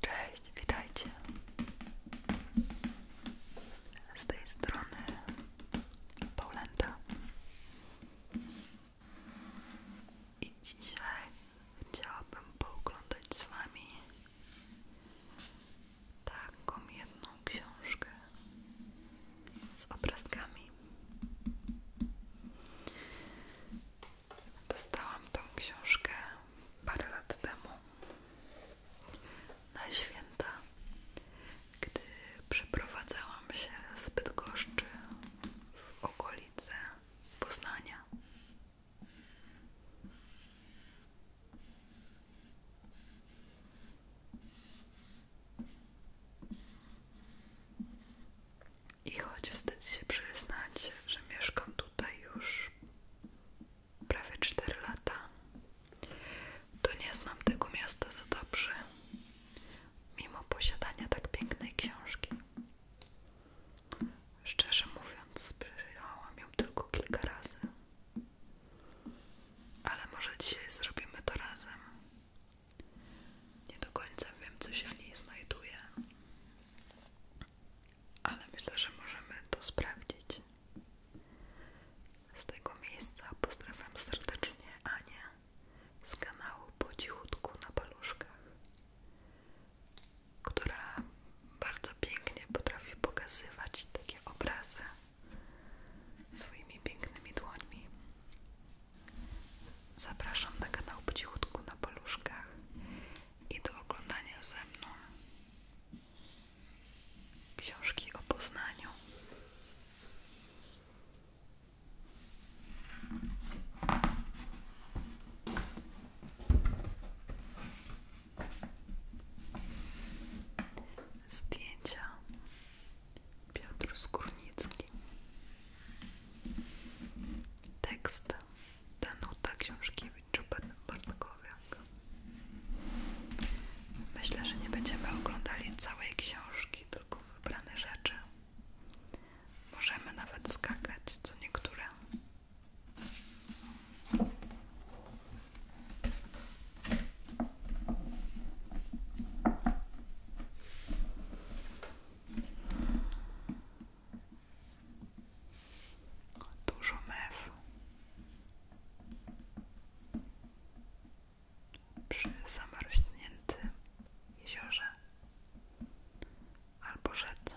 Cześć, witajcie. Z tej strony Paulenta. I dzisiaj chciałabym pooglądać z Wami taką jedną książkę z obrazkami. Dostałam tą książkę parę lat temu na święta, gdy przeprowadzałam się z Bydgoszczy w okolice Poznania. I choć wstyd się przyznać, że mieszkam tutaj już prawie 4 lata, to nie znam tego miasta za dobrze, mimo posiadania tak pięknej książki. Szczerze mówiąc, przyjrzałam ją tylko kilka razy, ale może dzisiaj zrobimy to razem. Nie do końca wiem, co się w niej znajduje, ale myślę, że możemy to sprawdzić. Z tego miejsca pozdrawiam serdecznie Anię z kanału Po cichutku na paluszkach, która bardzo pięknie potrafi pokazywać takie obrazy swoimi pięknymi dłońmi. Zapraszam na kanał Po na paluszkach i do oglądania ze mną książki o Poznaniu. Zdjęcia Piotr Skórnicki Tekst Danuta Książkiewicz-Bartkowiak Myślę, że nie będziemy oglądali całej książki, tylko wybrane rzeczy. Możemy nawet skakać co niektóre. Dużo mew przy zamarzniętym jeziorze albo rzece.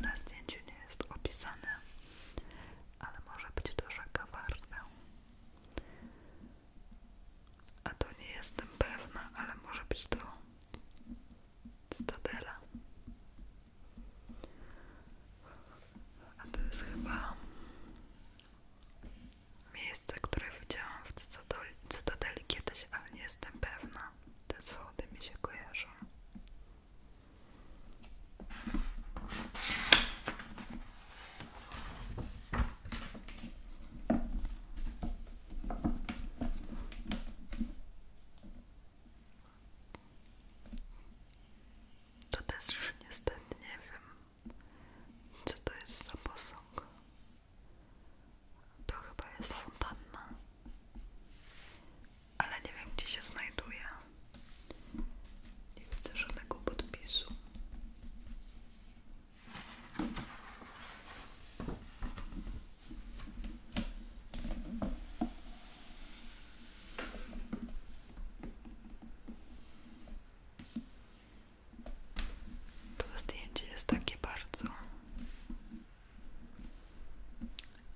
Na zdjęciu nie jest opisane ale może być to rzeka A tu nie jestem pewna, ale może być to Stadela. A tu jest chyba miejsce, które widziałam w Cytadoli, kiedyś, ale nie jestem pewna. Te słody mi się kojarzą. To też niestety nie wiem, co to jest za posąg. To chyba jest fontanna, ale nie wiem, gdzie się znajduje. Nie widzę żadnego podpisu. To zdjęcie jest takie bardzo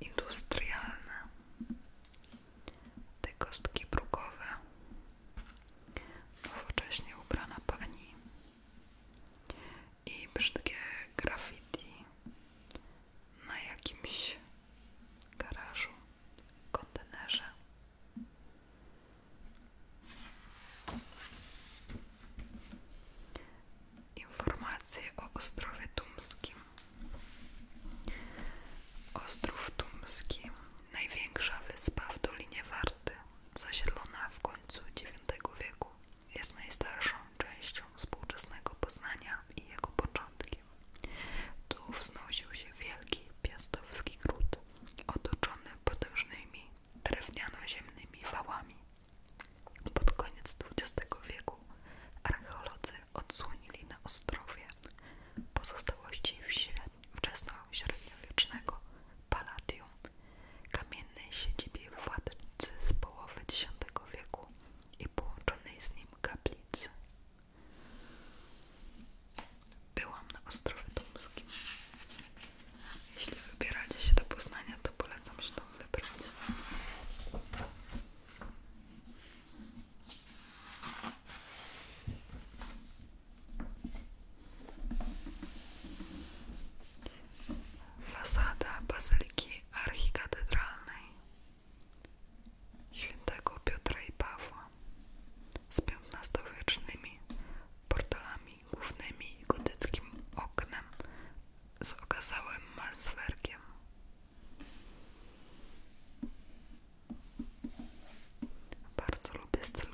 industrialne te kostki brukowe. Nowocześnie ubrana pani i brzydkie graffiti na jakimś garażu, kontenerze. Informacje o Ostrowie Tumskim. Ostrów Tumski, największa wyspa w Dolinie Warty, zasiedlona w końcu IX wieku, jest najstarszą częścią współczesnego Poznania i jego początkiem. Tu wznosił się wielki piastowski gród, otoczony potężnymi drewniano-ziemnymi wałami. Pod koniec XX wieku archeolodzy odsłonili na Ostrowie pozostałości wczesno-średniowiecznego Paladium, kamiennej siedzibie władcy z połowy X wieku i połączonej z nim kaplicy. Byłam na Ostrowie Tomskim. Jeśli wybieracie się do Poznania, to polecam się tam wybrać. Fasada Bazyliki Archikatedralnej Świętego Piotra i Pawła z XV-wiecznymi portalami głównymi i gotyckim oknem z okazałym maswerkiem. Bardzo lubię styl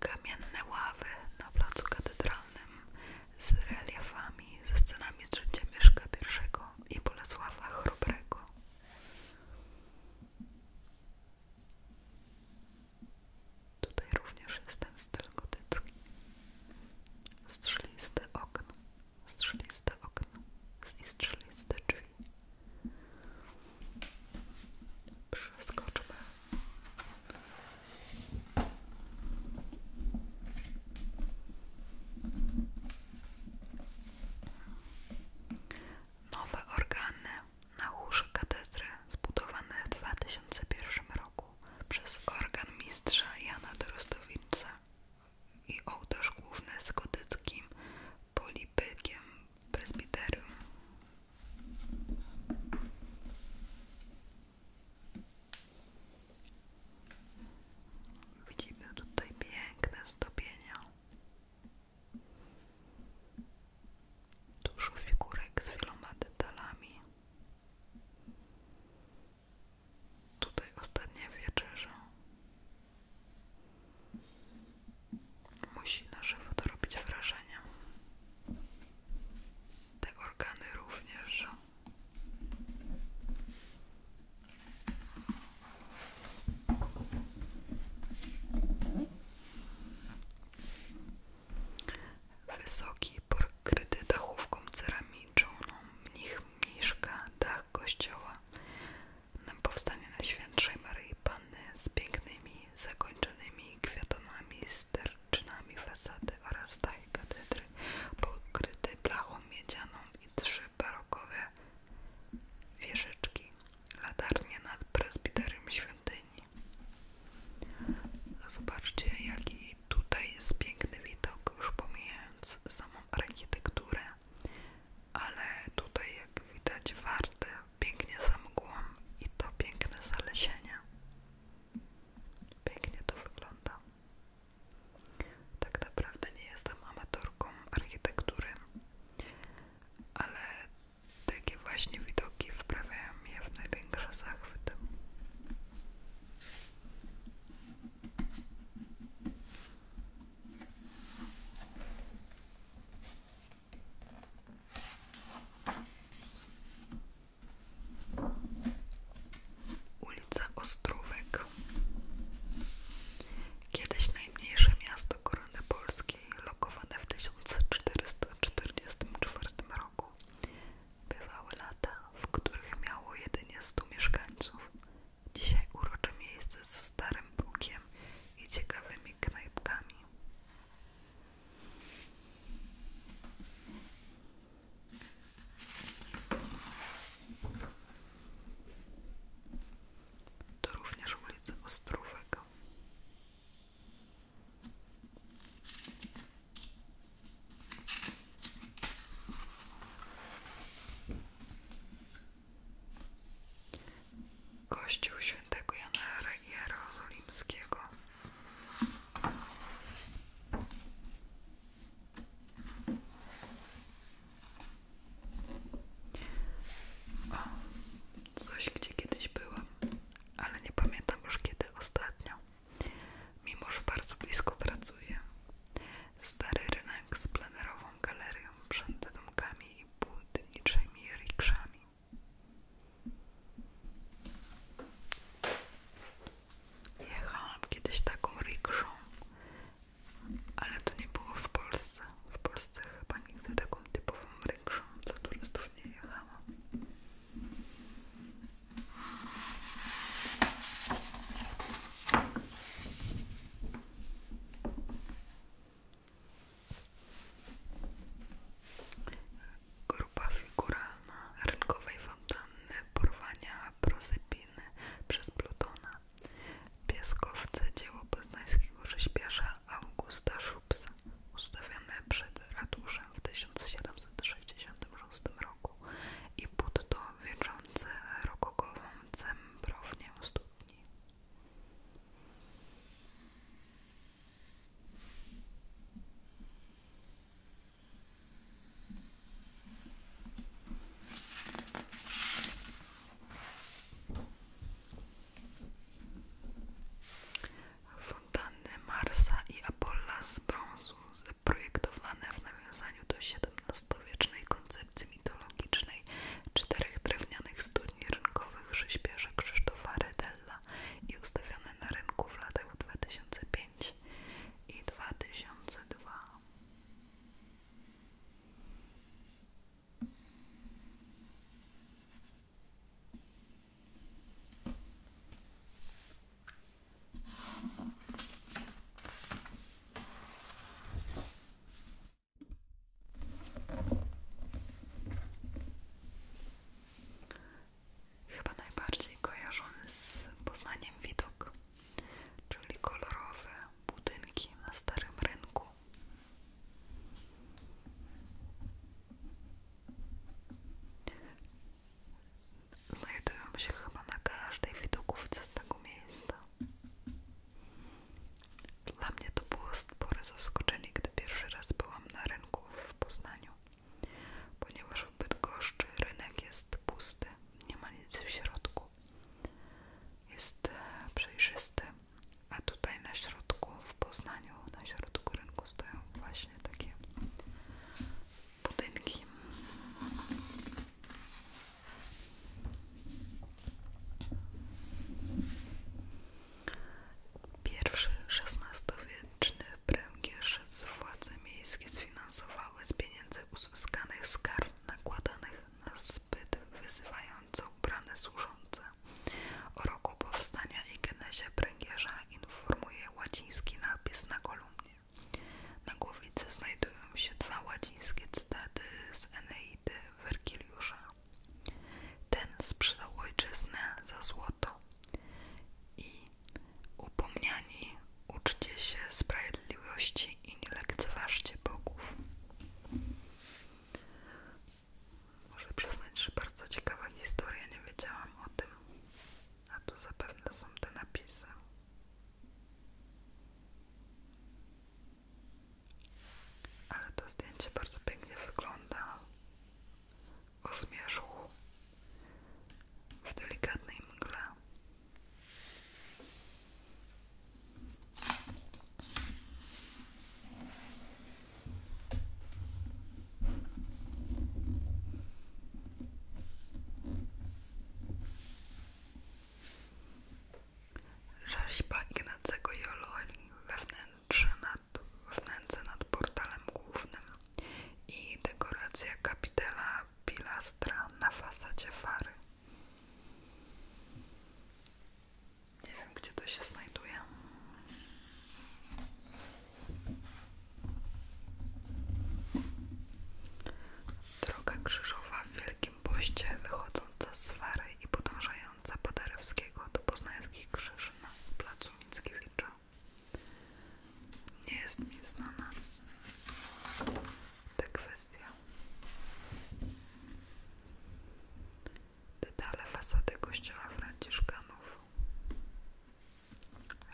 Kamienne ławy na placu katedralnym z reliefami, ze scenami z życia Mieszka i Bolesława Chrobrego. Tutaj również jest ten styl gotycki. Strzeliste okno, strzeliste okno i strzeliste drzwi. Przeskoczmy. Nowe organy na chórze katedry zbudowane w 2001 roku przez organ mistrza Jana Dorostowicza i ołtarz główny z gotyckim polipykiem presbiterium. Widzimy tutaj piękne stopienia Dużo figurek z wieloma detalami. Tutaj ostatnia wieczerza. Musi na żywo to robić wrażenie. Te organy również że Wysoki porkryty dachówką ceramiczną no, mnich mniszka dach kościoła nam powstanie na Świętszej Maryi Panny z pięknymi, zakończonymi kwiatonami, sterczynami fasady oraz dach katedry pokryty blachą miedzianą i trzy barokowe wieżyczki, latarnie nad prezbiterem świątyni. Zobaczcie, jaki tutaj jest piękny widok, już pomijając samą architekturę, ale tutaj, jak widać, warte pięknie za mgłą i to piękne zalesienie. Pięknie to wygląda. Tak naprawdę nie jestem amatorką architektury, ale takie właśnie widoki wprawiają mnie w największe zachwyty. Ulica Ostrówek Kiedyś najmniejsze miasto Korony Polskiej, lokowane w 1444 roku, bywały lata, w których miało jedynie 100 mieszkańców. Dzisiaj urocze miejsce z starym bukiem i ciekawymi knajpkami. To również ulica Ostrówek. Kościół świętego Jana Jerozolimskiego. O, coś gdzie kiedyś byłam, ale nie pamiętam już kiedy ostatnio. Mimo, że bardzo blisko pracuję. Stary rynek z plenerową galerią przed domkami i budniczymi rikszami. Jechałam kiedyś taką rikszą ale to nie było w Polsce. W Polsce chyba nigdy taką typową rększą dla turystów nie jechałam. Grupa figuralna rynkowej fontanny, porwania prozepiny przez Plutona Piaskowce dzieło poznańskiego rzeźbiarza Augusta Szubsa, ustawione przed ratuszem w 1766 roku i budto wieczące rokokową cembrownię studni. Fontanny Marsa i Apolla z brązu zaprojektowane w nawiązaniu do XVII-wiecznej koncepcji mitologicznej czterech drewnianych studni rynkowych rzeźbiarza Krzysztofa Redella i ustawione na rynku w latach 2005 i 2002. Chyba najbardziej kojarzony z Poznaniem widok czyli kolorowe budynki na starym rynku. Znajdują się chyba na każdej widokówce z tego miejsca. Dla mnie to było spore zaskoczenie, gdy pierwszy raz byłam na rynku w Poznaniu, ponieważ w Bydgoszczy rynek jest pusty, nie ma nic w środku jest e, przejrzysty, a tutaj na środku w Poznaniu, na środku rynku stoją właśnie takie budynki. Pierwszy XVI-wieczny pręgierz władze miejskie sfinansowały z pieniędzy uzyskanych z kar nakładanych na zbyt wyzywająco ubrane służące. O roku powstania i genezie pręgierza informuje łaciński napis na kolumnie. Na głowicy znajdują się dwa łacińskie cytaty z Eneidy Wergiliusza. Ten sprzedał ojczyznę za złoto i upomniani Uczcie się sprawiedliwości i nie lekceważcie bogów. Może przyznać, że bardzo ciekawa historia, nie wiedziałam o tym. A tu zapewne są te napisy. Ale to zdjęcie bardzo pięknie wyglądało. O zmierzchu w delikatnej mgle. Rzeźba Ignacego Jololi we wnętrzu nad, wnętrze nad portalem głównym i dekoracja kapitela pilastra na fasadzie fary. Nie wiem, gdzie to się znajduje. Droga krzyżowa w Wielkim Poście wychodząca z Fary i podążająca Paderewskiego do Poznańskich Krzyży na placu Mickiewicza. Nie jest mi znana ta kwestia. Detale fasady kościoła Franciszkanów.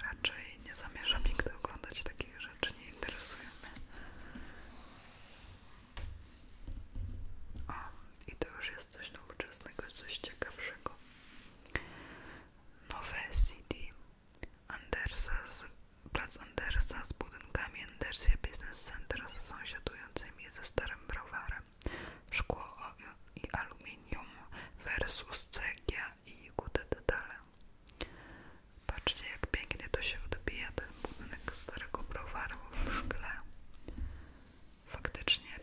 Raczej nie zamierzam nigdy oglądać takich rzeczy, nie interesują mnie. O, i to już jest coś nowoczesnego, coś ciekawszego. Nowe CD Andersa z, plac Andersa z budynkami Andersia Business Center sąsiadującymi ze starym browarem. Szkło i aluminium versus cegia i kuty detale. Patrzcie jak pięknie to się odbija ten budynek starego browaru w szkle. Faktycznie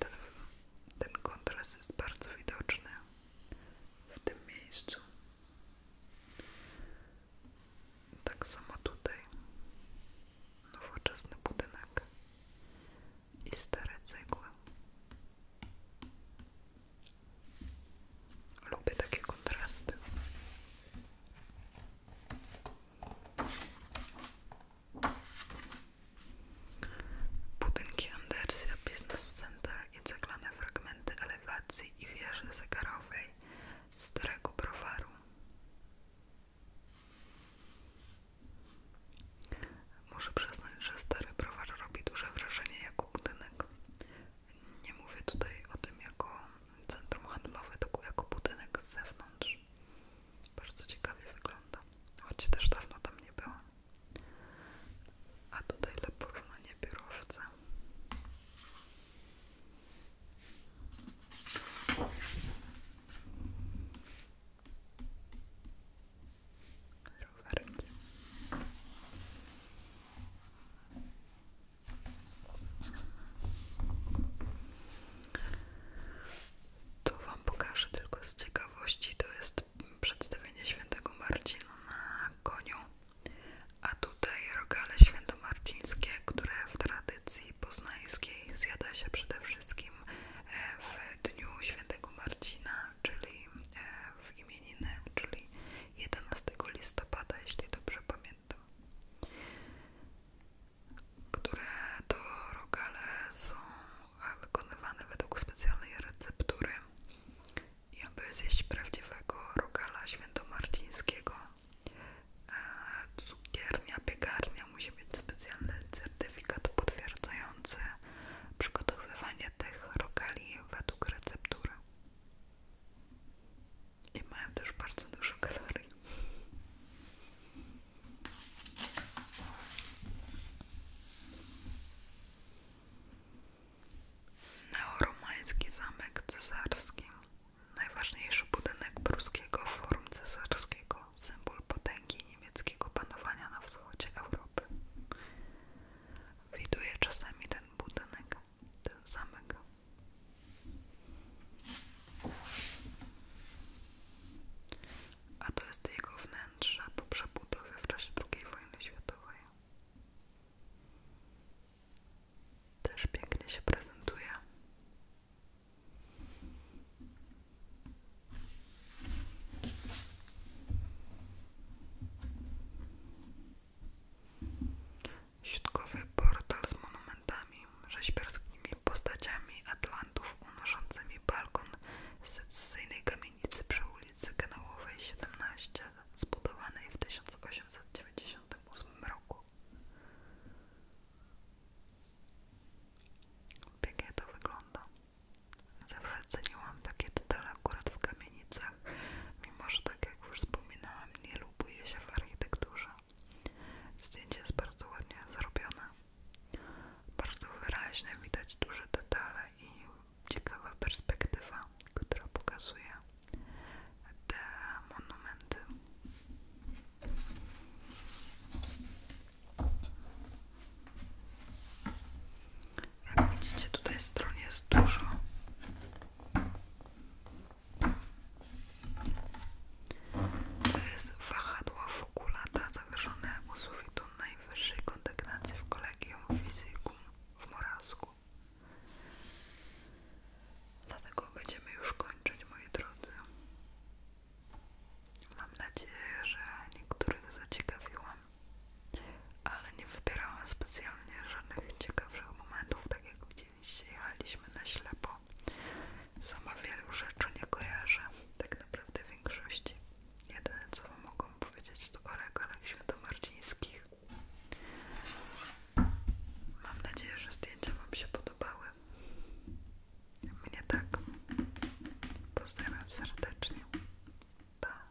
ten kontrast jest bardzo widoczny w tym miejscu. Tak samo tutaj nowoczesny budynek i stare cegły. Lubię takie kontrasty. Budynki Andersia Business Center i ceglane fragmenty elewacji i wieży zegarowej starego browaru. Muszę przyznać, że stary browar robi duże wrażenie jako budynek. Nie mówię tutaj o tym jako centrum handlowe, tylko jako budynek z zewnątrz. Bardzo ciekawie wygląda, choć też dawno tam nie było. A tutaj dla porównania biurowca. To Wam pokażę tylko z ciekawości. To jest przedstawienie świętego Marcina na koniu. A tutaj rogale święto świętomarcińskie, które w tradycji poznańskiej zjada się przede wszystkim e, w dniu świętego Marcina, czyli e, w imieniny, czyli 11 listopada, jeśli dobrze pamiętam. Które to rogale są e, wykonywane według specjalnej receptury i aby zjeść prawdziwego rogala świętomarcińskiego, e, cukiernia, piekarnia musi mieć specjalny certyfikat potwierdzający przygotowywanie tych rokali według receptury. I mają też bardzo dużo kalorii. Neoromański zamek cesarski najważniejszy budynek pruskiego forum cesarskiego, symbol potęgi niemieckiego panowania na wschodzie Europy. Widuje czasami ten budynek, ten zamek. A to jest jego wnętrze po przebudowie w czasie II wojny światowej. Też pięknie się prezentuje. Środkowy portal z monumentami, rzeźbiarskimi postaciami atlantów unoszącymi balkon z secesyjnej kamienicy przy ulicy Kanałowej 17, zbudowanej w 1890 1998 roku. Pięknie tak to wygląda. Zawsze ceniłam takie detale akurat w kamienicach, mimo że tak jak już wspominałam, nie lubuję się w architekturze. Zdjęcie jest bardzo ładnie zrobione. Bardzo wyraźne widać duże detale i ciekawa perspektywa, która pokazuje te monumenty. Jak widzicie, tutaj stron jest dużo. To jest wahadło fokulata zawieszone u sufitu najwyższej kondygnacji w Kolegium Fizicum w Morazu. Dlatego będziemy już kończyć, moi drodzy. Mam nadzieję, że niektórych zaciekawiłam, ale nie wybierałam specjalnie żadnych ciekawszych momentów, tak jak widzieliście, jechaliśmy na ślepo. Sama wielu rzeczy nie kojarzę, tak naprawdę w większości. Jedyne co wam mogą powiedzieć to o regalach świętomarcińskich Mam nadzieję, że zdjęcia Wam się podobały. Mnie tak. Pozdrawiam serdecznie. Pa.